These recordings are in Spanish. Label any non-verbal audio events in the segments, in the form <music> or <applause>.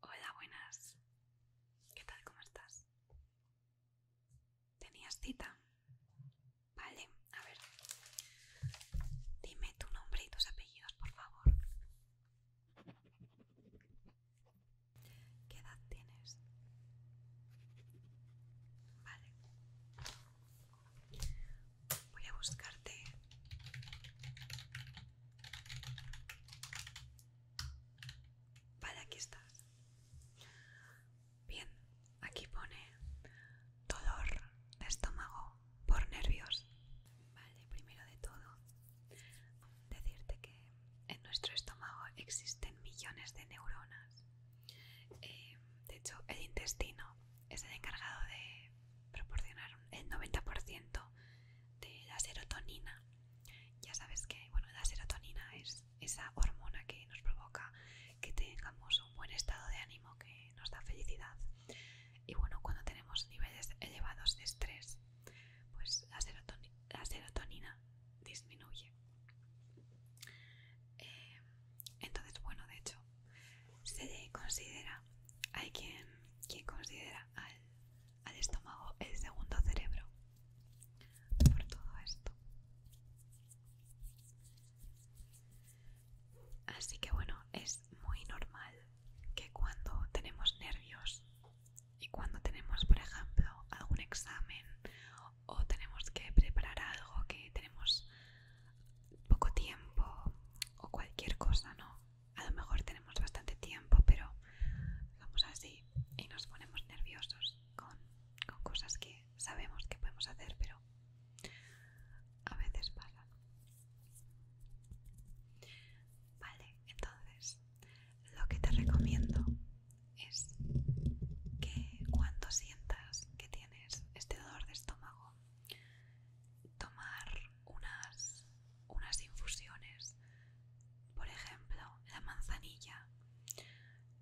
Hola, buenas. ¿Qué tal? ¿Cómo estás? ¿Tenías cita? Vale, a ver. Dime tu nombre y tus apellidos, por favor. ¿Qué edad tienes? Vale. Voy a buscarte. Vale, aquí estás. Bien, aquí pone dolor de estómago por nervios. Vale, primero de todo, decirte que en nuestro estómago existen millones de neuronas. Eh, de hecho, el intestino es el encargado de proporcionar el 90% de la serotonina. Ya sabes que bueno, la serotonina es esa hormona que nos provoca que tengamos un buen estado de ánimo, que nos da felicidad. Y bueno, cuando tenemos niveles elevados de estrés, pues la, serotonina disminuye. Eh, entonces, bueno, de hecho, se considera, hay quien, considera al, al estómago el segundo cerebro por todo esto. Así que bueno, es muy normal que cuando tenemos nervios y cuando tenemos, por ejemplo, algún examen o tenemos que preparar algo que tenemos poco tiempo o cualquier cosa, ¿no? a lo mejor tenemos bastante tiempo, pero vamos así y nos ponemos nerviosos con, cosas que sabemos que podemos hacer, pero a veces pasan. Vale, entonces lo que te recomiendo es que cuando sientas que tienes este dolor de estómago tomar unas, infusiones, por ejemplo, la manzanilla.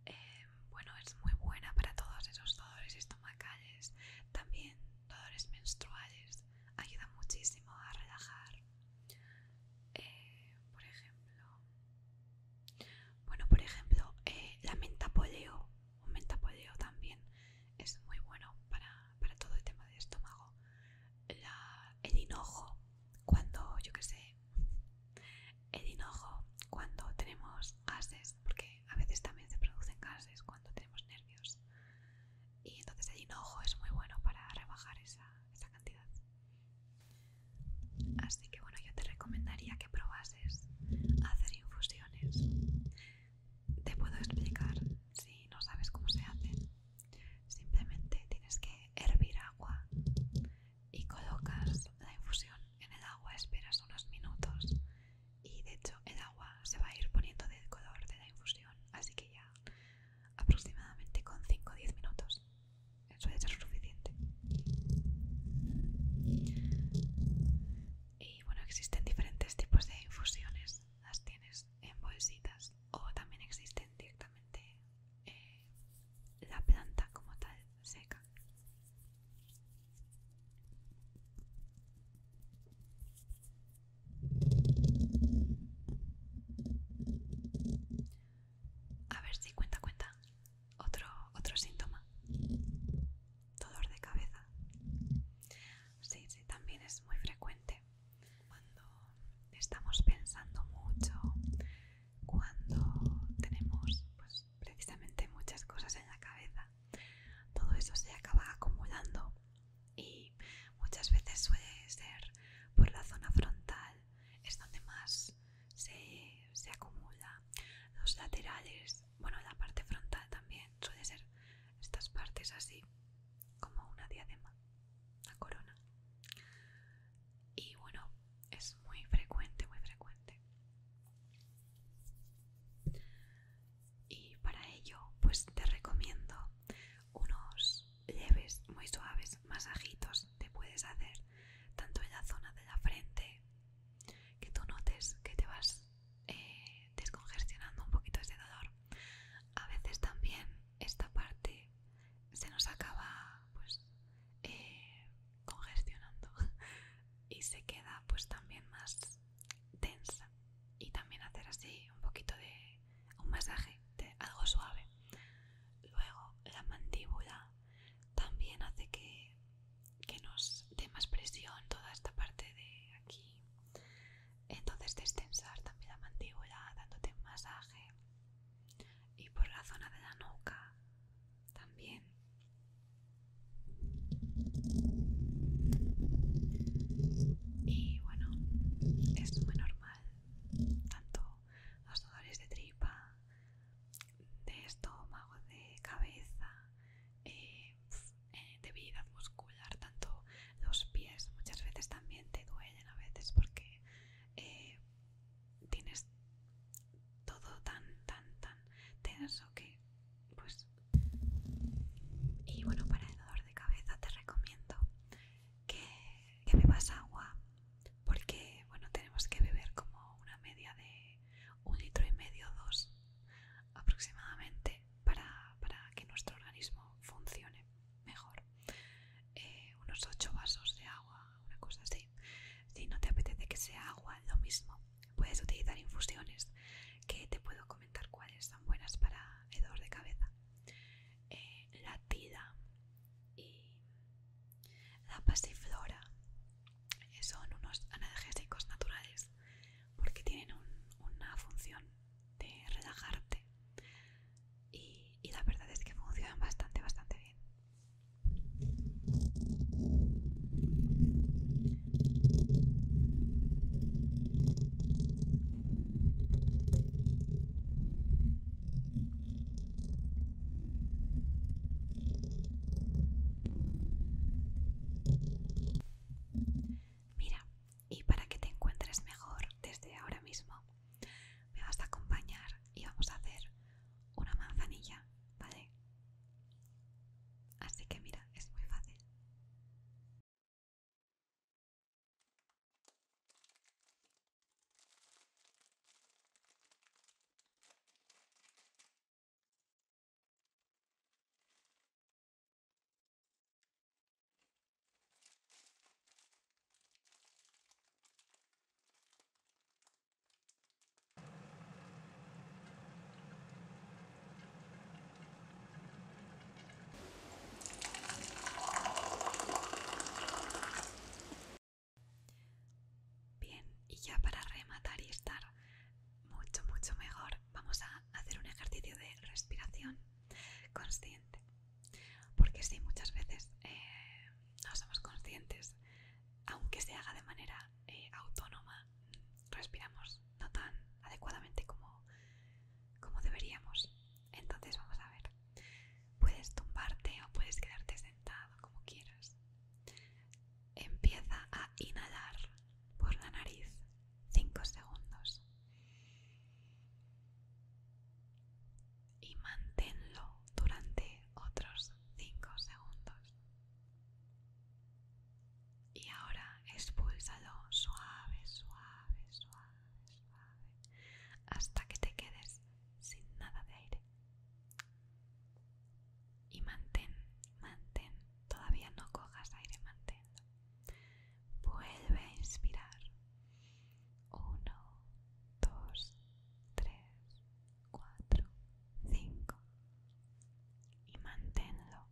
Eh, bueno, es muy buena para todos esos dolores estomacales, también dolores menstruales, ayuda muchísimo a relajar. Eh, por ejemplo, bueno, por ejemplo, eh, la menta poleo un mentapoleo también es muy bueno para, todo el tema del estómago. el hinojo, cuando, yo que sé, el hinojo, cuando tenemos gases, porque a veces también se producen gases cuando tenemos nervios. Y entonces el hinojo es muy bueno para rebajar esa, esa cantidad. Así que bueno, yo te recomendaría que probases hacer infusiones te puedo explicar si no sabes cómo se hacen. Simplemente tienes que hervir agua y colocas la infusión en el agua, esperas unos minutos y de hecho el agua se va a ir poniendo del color de la infusión, así que ya aproximadamente con 5 o 10 minutos Eso ya es suficiente. Y bueno, existen diferentes tipos de infusiones las tienes en bolsitas o también existen directamente eh, la planta como tal seca a ver si cuenta cuenta otro otro síntoma dolor de cabeza Sí, sí, también es muy frecuente. Cuando estamos pensando mucho, cuando tenemos pues, precisamente muchas cosas en la cabeza, todo eso se acaba acumulando y muchas veces suele ser por la zona frontal, es donde más se, se acumula. Los laterales bueno, la parte frontal también suele ser estas partes así, como una diadema, una corona. Y bueno, es muy frecuente, muy frecuente. Y para ello, pues te recomiendo unos leves, muy suaves masajitos te puedes hacer tanto en la zona de la frente que tú notes que te vas eh, descongestionando un poquito ese dolor. A veces también esta parte se nos acaba pues eh, congestionando <laughs> y se queda pues también más tensa y también hacer así un poquito de un masaje de algo suave luego la mandíbula también hace que que nos dé más presión toda esta parte de aquí. Entonces destensar también la mandíbula dándote un masaje y por la zona de la nuca también. Y bueno, es muy normal, tanto los dolores de tripa, de estómago, de cabeza, eh, eh, de, debilidad muscular, tanto los pies muchas veces también te duelen a veces porque eh, tienes todo tan, tan, tan tenso que pues... Y bueno, para el dolor de cabeza te recomiendo que, que bebas agua porque bueno, tenemos que beber como una media de un litro y medio, dos aproximadamente para, que nuestro organismo funcione mejor. Eh, unos 8 vasos de agua, una cosa así. Si no te apetece que sea agua, lo mismo. Puedes utilizar infusiones, que te puedo comentar cuáles son buenas para el dolor de cabeza. Eh, la tila y la pasiflora eh, son unos analgésicos naturales porque tienen una función de relajarte y la verdad es que funcionan bastante, bastante bien. Mira, y para que te encuentres mejor desde ahora mismo, me vas a acompañar y vamos a hacer una manzanilla, ¿vale? Así que mira, es muy fácil. Bien, y ya para rematar y estar mucho, mucho mejor, vamos a hacer un ejercicio de respiración consciente. Porque si muchas veces eh, no somos conscientes, aunque se haga de manera eh, autónoma, respiramos no tan adecuadamente como, como deberíamos. Entonces vamos a ver, puedes tumbarte o puedes quedarte sentado como quieras. Empieza a inhalar por la nariz 5 segundos y manténlo durante otros 5 segundos. Y ahora expúlsalo suave, suave, suave, suave, hasta que te quedes sin nada de aire y mantén, mantén, todavía no cojas aire, manténlo. Vuelve a inspirar. Uno, dos, tres, cuatro, cinco. Y manténlo.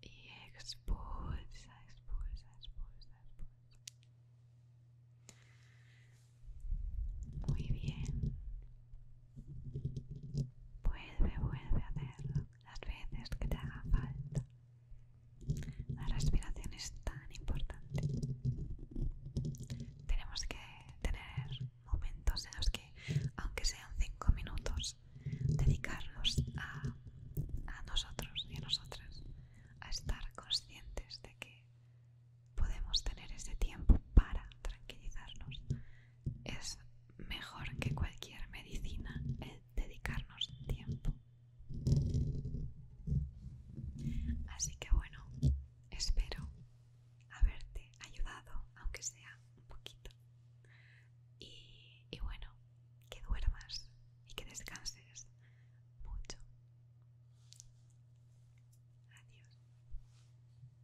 Y expulsa, expulsa, expulsa, expulsa. Muy bien. Vuelve, vuelve a hacerlo las veces que te haga falta. La respiración es tan importante. Tenemos que tener momentos en los que, aunque sean cinco minutos, dedicarlos a, a nosotros y a nosotras, a estar conscientes de que podemos tener ese tiempo para tranquilizarnos, es mejor que cualquier medicina el dedicarnos tiempo. Así que bueno, espero haberte ayudado, aunque sea un poquito. Y, bueno, que duermas y que descanses mucho. Adiós.